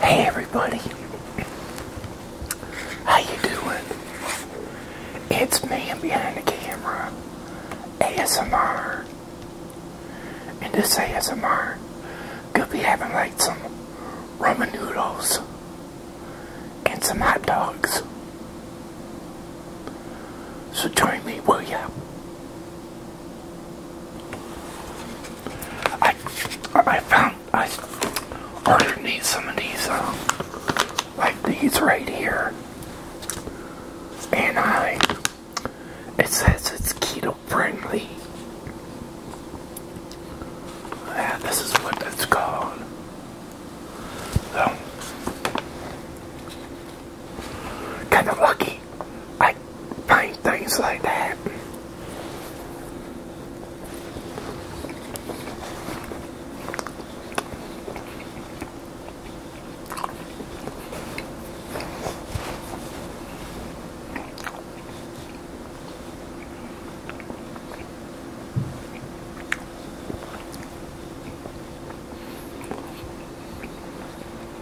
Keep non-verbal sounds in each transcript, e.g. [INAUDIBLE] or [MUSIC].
Hey everybody, how you doing? It's me and behind the camera, ASMR, and this ASMR gonna be having like some ramen noodles and some hot dogs. So join me, will ya? I I found I ordered me some of these um, like these right here, and I it says it's keto friendly. this is what it's called. So, kind of lucky I find things like that.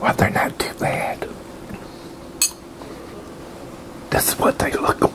Well, they're not too bad. This is what they look like.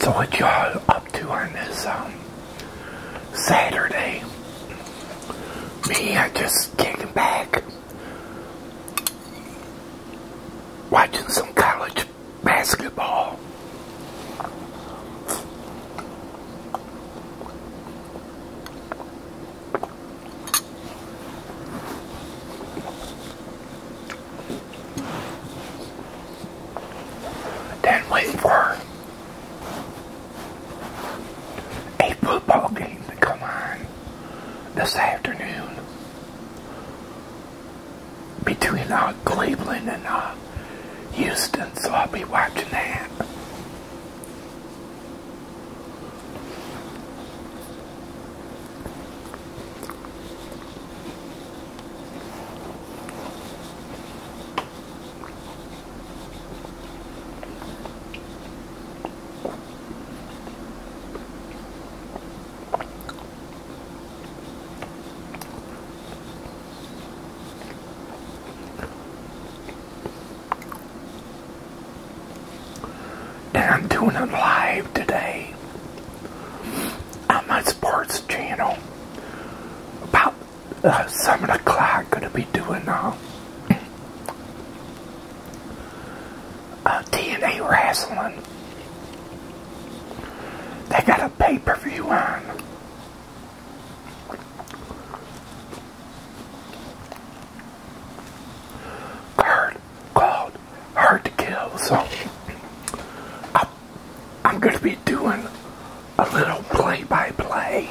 So what y'all up to on this um, Saturday? Me, I just kicking back, watching some college basketball. Then wait for a football game to come on this afternoon between our uh, Cleveland and our uh, Houston, so I'll be watching that. And I'm doing it live today on my sports channel. About uh, 7 o'clock, going to be doing uh, a TNA Wrestling. They got a pay-per-view on. Card called Hard to Kill, so I'm, going to be doing a little play-by-play. play by play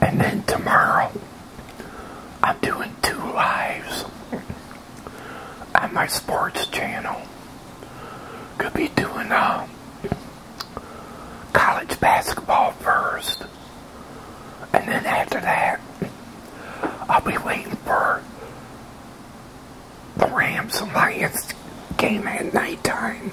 And then tomorrow, I'm doing two lives on my sports channel. Could be doing uh, college basketball first. And then after that, I'll be waiting for the Rams and Lions game at nighttime.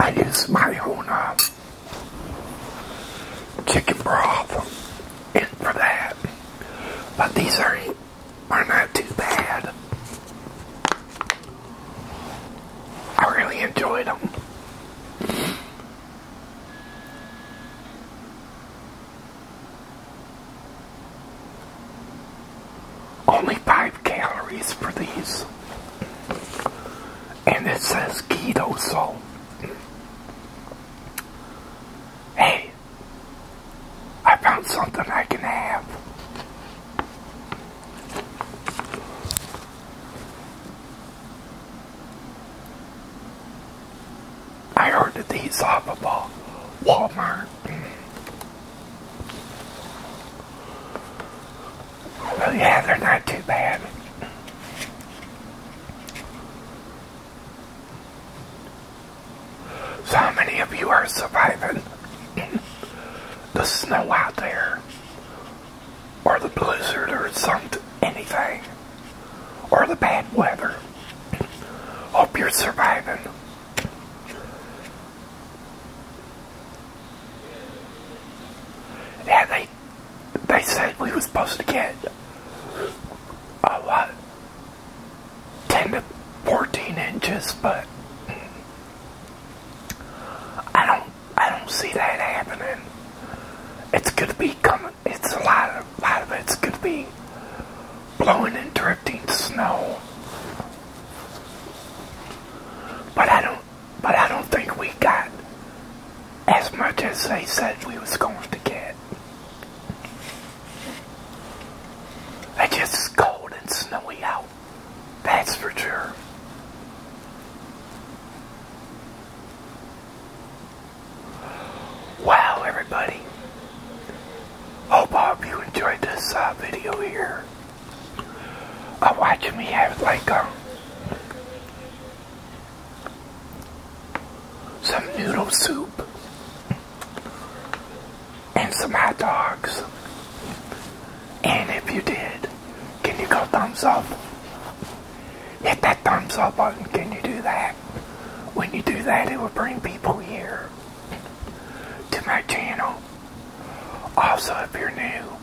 I use my own uh, chicken broth in for that, but these are are not too bad. I really enjoyed them. Only five calories for these. And it says keto, so hey, I found something I can have. I ordered these off of Walmart. But yeah, they're not too bad. So how many of you are surviving [LAUGHS] the snow out there? or the blizzard or something, anything, or the bad weather. Hope you're surviving. Yeah, they they said we were supposed to get a lot, ten to fourteen inches, but I don't I don't see that happening. It's gonna be coming. It's a lot of lot of it's gonna be blowing and drifting snow. But I don't. But I don't think we got as much as they said we was going to get. It's just cold and snowy out. That's for sure. Wow, everybody. Hope all you enjoyed this uh, video here. Uh, watching me have like um, some noodle soup and some hot dogs. And if you did, can you go thumbs up? Hit that thumbs up button. Can you do that? When you do that, it will bring people here to my channel. Also, if you're new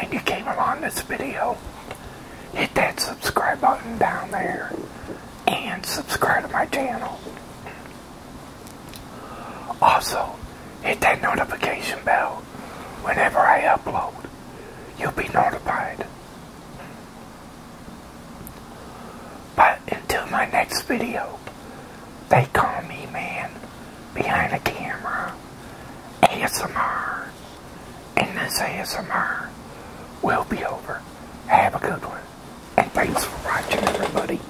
and you came along this video, hit that subscribe button down there and subscribe to my channel. Also, hit that notification bell whenever I upload. You'll be notified. But until my next video, they call me man behind the camera ASMR. And this ASMR will be over. Have a good one. And thanks for watching, everybody.